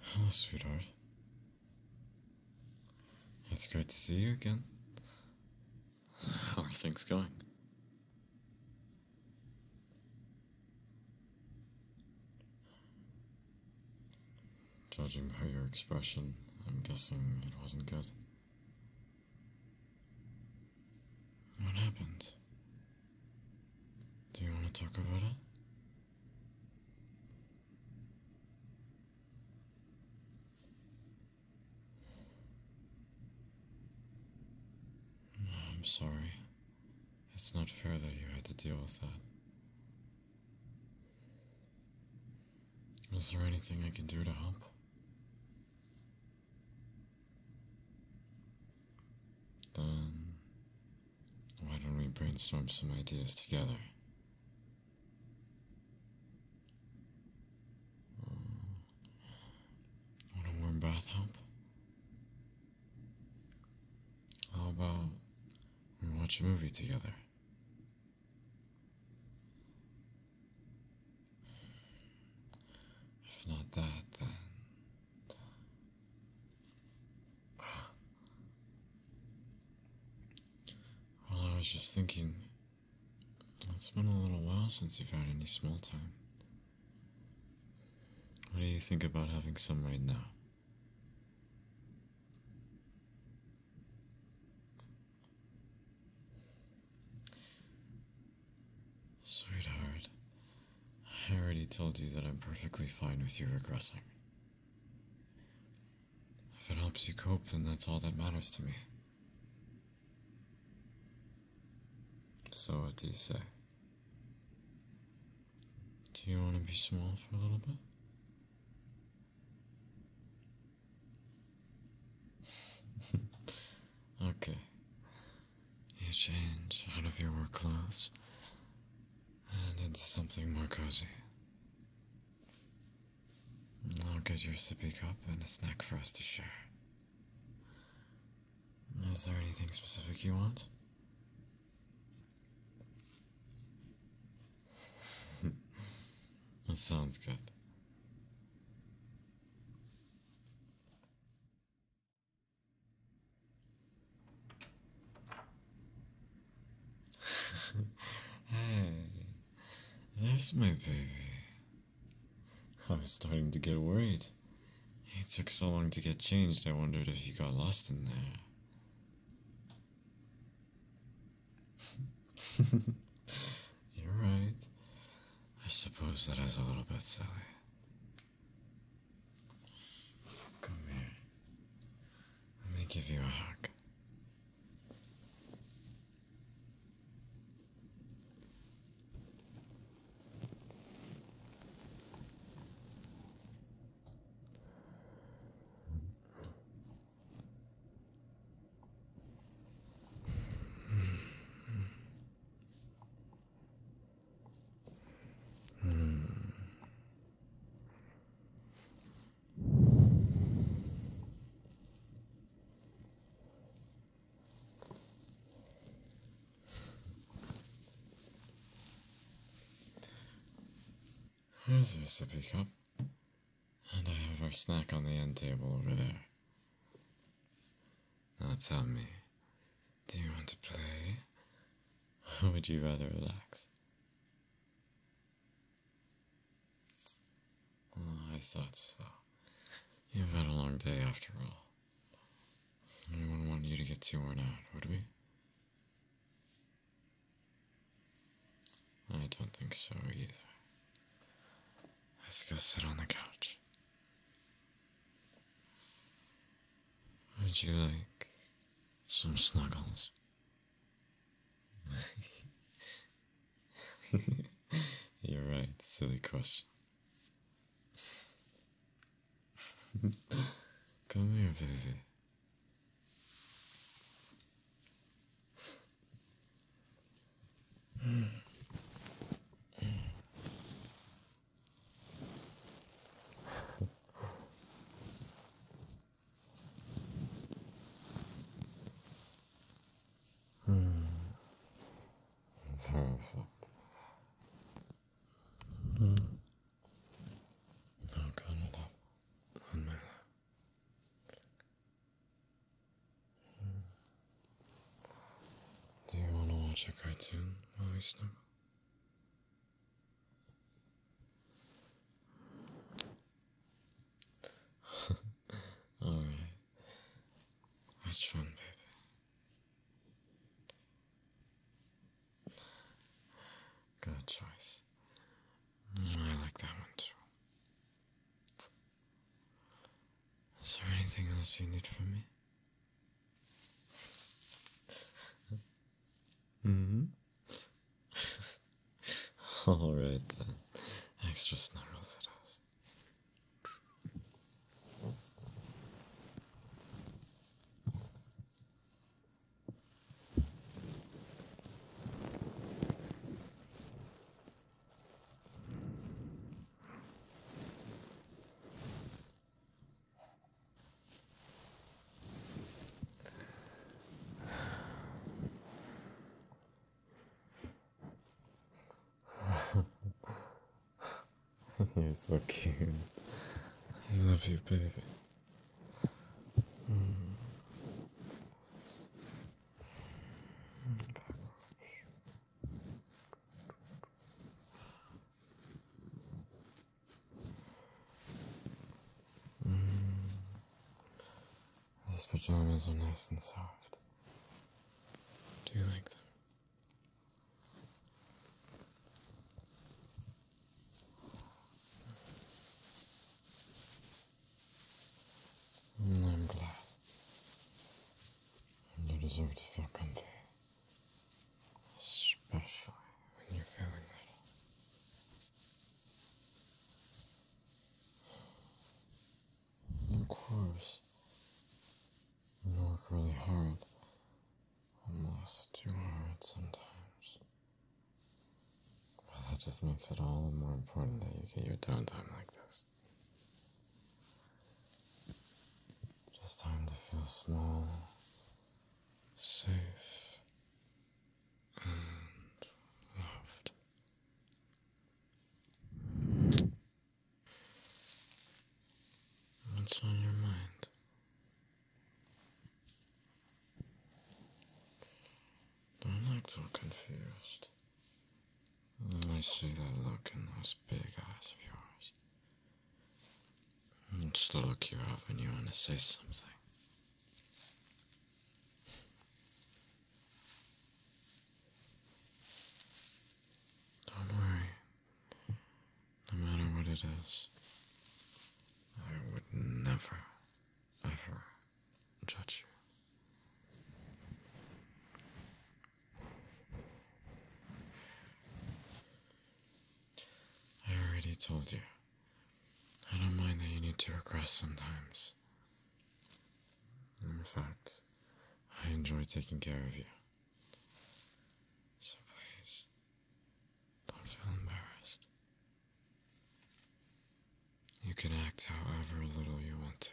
Hello, sweetheart. It's great to see you again. How are things going? Judging by your expression, I'm guessing it wasn't good. What happened? Do you want to talk about it? I'm sorry. It's not fair that you had to deal with that. Is there anything I can do to help? Then why don't we brainstorm some ideas together? Um, a warm bath help? How about we watch a movie together? If not that, then well, I was just thinking, it's been a little while since you've had any small time. What do you think about having some right now? Sweetheart, I already told you that I'm perfectly fine with you regressing. If it helps you cope, then that's all that matters to me. So what do you say? Do you want to be small for a little bit? okay. You change out of your work clothes, and need something more cozy. I'll get your sippy cup and a snack for us to share. Is there anything specific you want? that sounds good hey, there's my baby. I was starting to get worried. It took so long to get changed, I wondered if you got lost in there. You're right. I suppose that is a little bit silly. Come here. Let me give you a hug. Here's a sippy cup. And I have our snack on the end table over there. That's on me. Do you want to play? Or would you rather relax? Oh, I thought so. You've had a long day after all. I wouldn't want you to get too worn out, would we? I don't think so either. Let's go sit on the couch. Would you like some snuggles? You're right, silly question. Come here, baby hmm. Perfect. Hmm. Now Do you want to watch a cartoon while we snuggle? Alright. That's fun, baby. Good choice. I like that one too. Is there anything else you need from me? Mm hmm. Alright then. Extra snarls at us. You're so cute. I love you, baby. Mm. Mm. These pajamas are nice and soft. Do you like them? Mm, I'm You deserve to feel comfy. Especially when you're feeling ready. And of course, you work really hard, almost too hard sometimes. But that just makes it all the more important that you get your downtime like this. Just time to feel small safe and loved. What's on your mind? I'm not act all confused. I see that look in those big eyes of yours. Just to look you up when you want to say something. Don't worry. No matter what it is, I would never, ever judge you. I already told you. I don't mind that you need to regress sometimes. In fact, I enjoy taking care of you. So please, don't feel embarrassed. You can act however little you want to.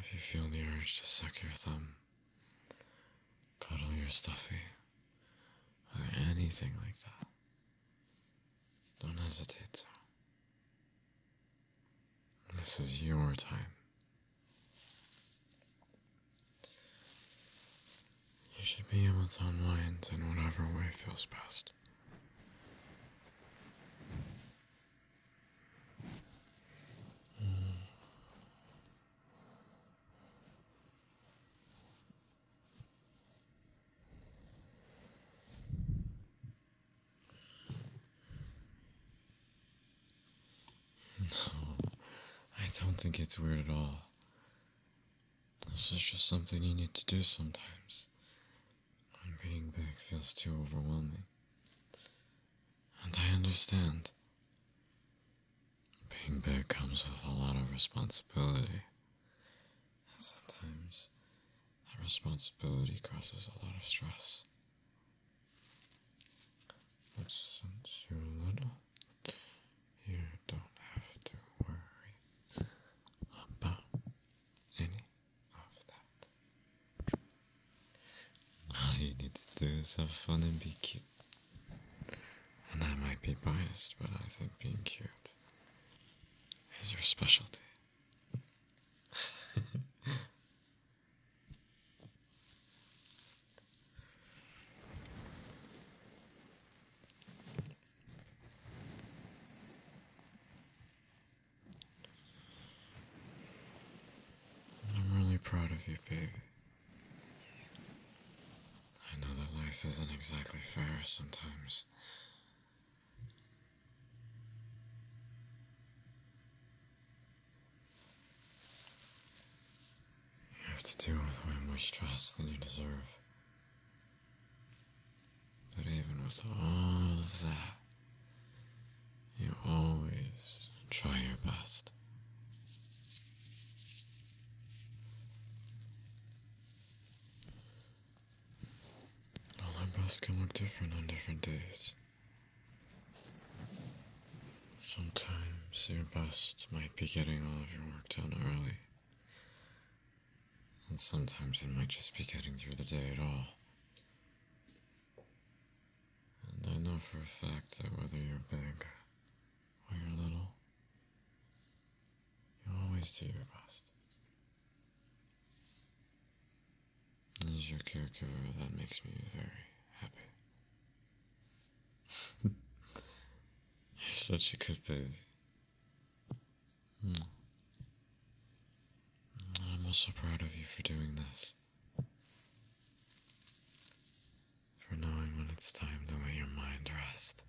If you feel the urge to suck your thumb, cuddle your stuffy, or anything like that, don't hesitate This is your time. You should be able to unwind in whatever way feels best. I don't think it's weird at all. This is just something you need to do sometimes. When being big feels too overwhelming. And I understand. Being big comes with a lot of responsibility. And sometimes that responsibility causes a lot of stress. But since you're little, you don't have to worry about any of that. All you need to do is have fun and be cute. And I might be biased, but I think being cute is your specialty. I'm really proud of you, baby. I know that life isn't exactly fair sometimes. You have to deal with way more stress than you deserve. But even with all of that, you always try your best. All our busts can look different on different days. Sometimes your bust might be getting all of your work done early. And sometimes it might just be getting through the day at all. And I know for a fact that whether you're big when you're little, you always do your best. And as your caregiver, that makes me very happy. you're such a good baby. Hmm. I'm also proud of you for doing this for knowing when it's time to let your mind rest.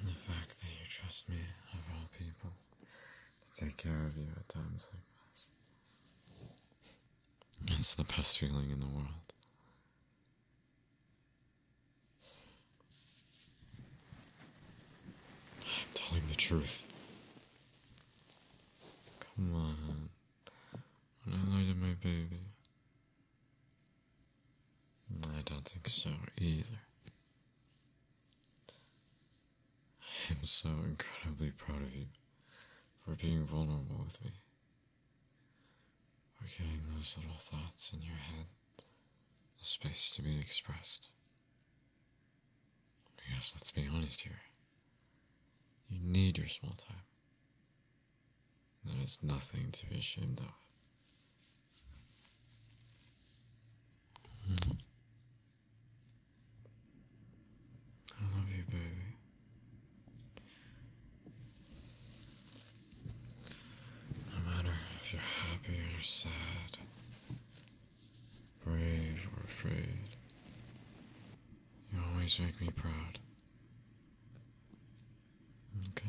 And the fact that you trust me, of all people, to take care of you at times like this. It's the best feeling in the world. I'm telling the truth. Come on. I do to my baby. I don't think so either. I'm so incredibly proud of you for being vulnerable with me are giving those little thoughts in your head a space to be expressed. Because let's be honest here, you need your small time. There is nothing to be ashamed of. Hmm. I love you, baby. No matter if you're happy or sad, brave or afraid, you always make me proud. Okay?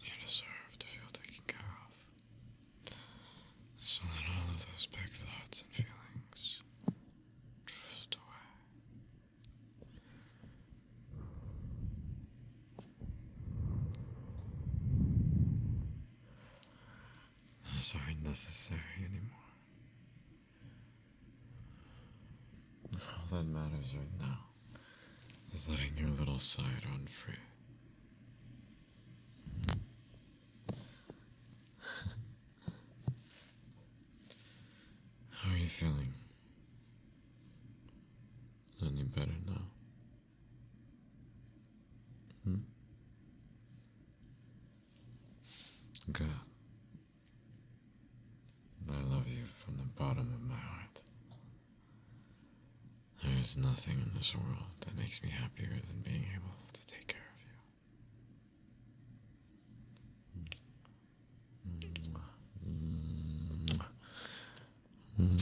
You deserve to feel taken care of. So that all of those big thoughts and feelings drift away. It's aren't necessary anymore. All that matters right now is letting your little side run free. How are you feeling? Any better now? Hmm? Good. I love you from the bottom of my heart. There is nothing in this world that makes me happier than being able to take care of you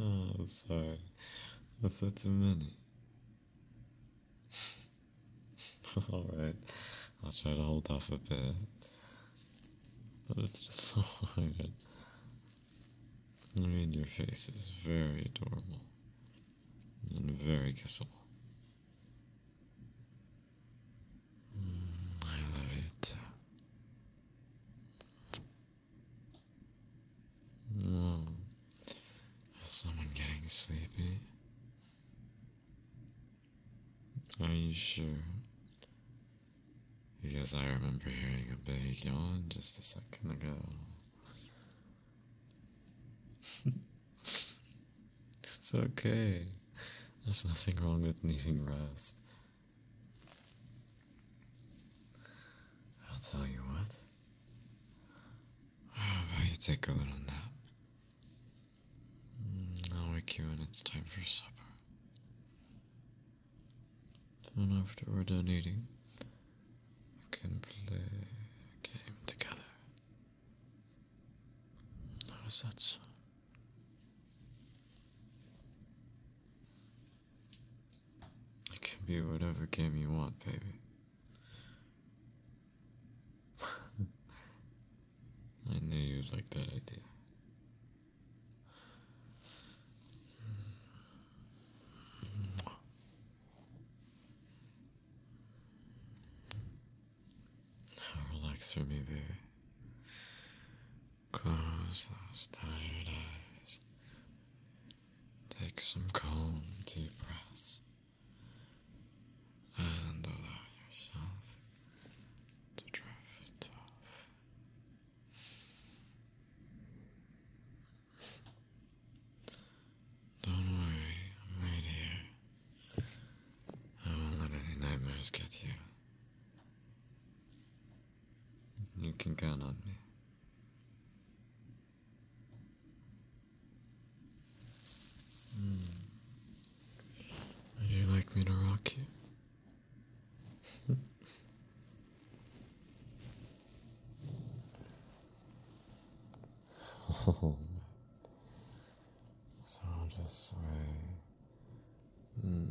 oh, I'm sorry. I said too many. Alright, I'll try to hold off a bit. But it's just so hard. I mean, your face is very adorable and very kissable. Mm, mm. I love it. is someone getting sleepy? Are you sure? Because I remember hearing a big yawn just a second ago. it's okay. There's nothing wrong with needing rest. I'll tell you what. How about you take a little nap? Mm, I'll wake you when it's time for supper. Then after we're done eating, we can play a game together. How's that sound? It can be whatever game you want, baby. I knew you'd like that idea. Now relax for me, baby. Close those tired eyes. Take some calm, deep breaths. And allow yourself to drift off. Don't worry, I'm right here. I won't let any nightmares get you. You can count on me. Mm. Would you like me to rock you? So I'll just sway Back, mm.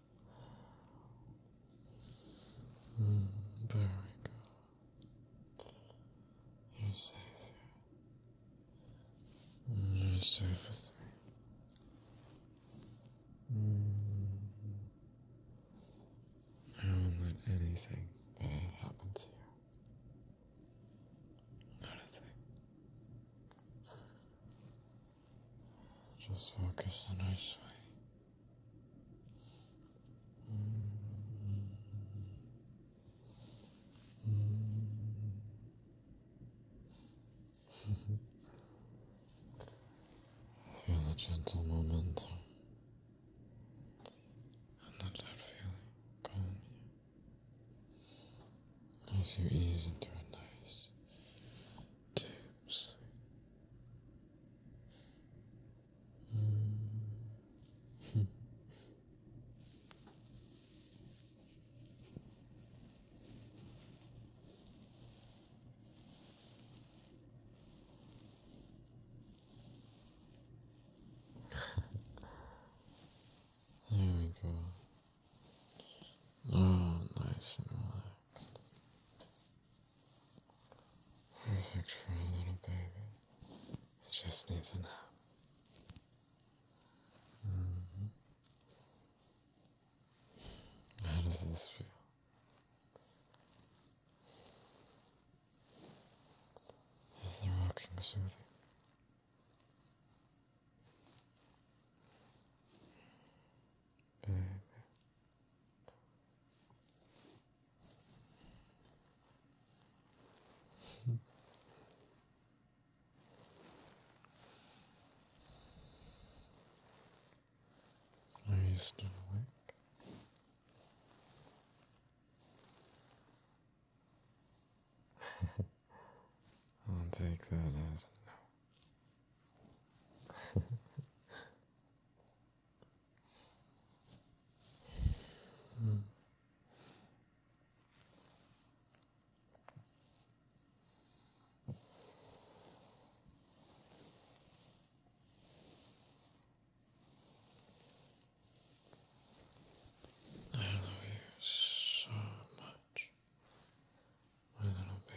Mm, there we go. You're safe You're safe with me. Mm, mm. I won't let anything bad happen to you. Not just focus on I sleep. the gentle momentum. And let that feeling calm you. As you ease into a nice, tips. Mm. There we go. Oh, nice and relaxed. There's actually even baby. It just needs a help. Mm How does this feel? Is the rocking soothing? Are you still awake? I'll take that as a no. Hmm. I love you so much, my little baby.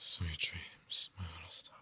Sweet dreams, my little star.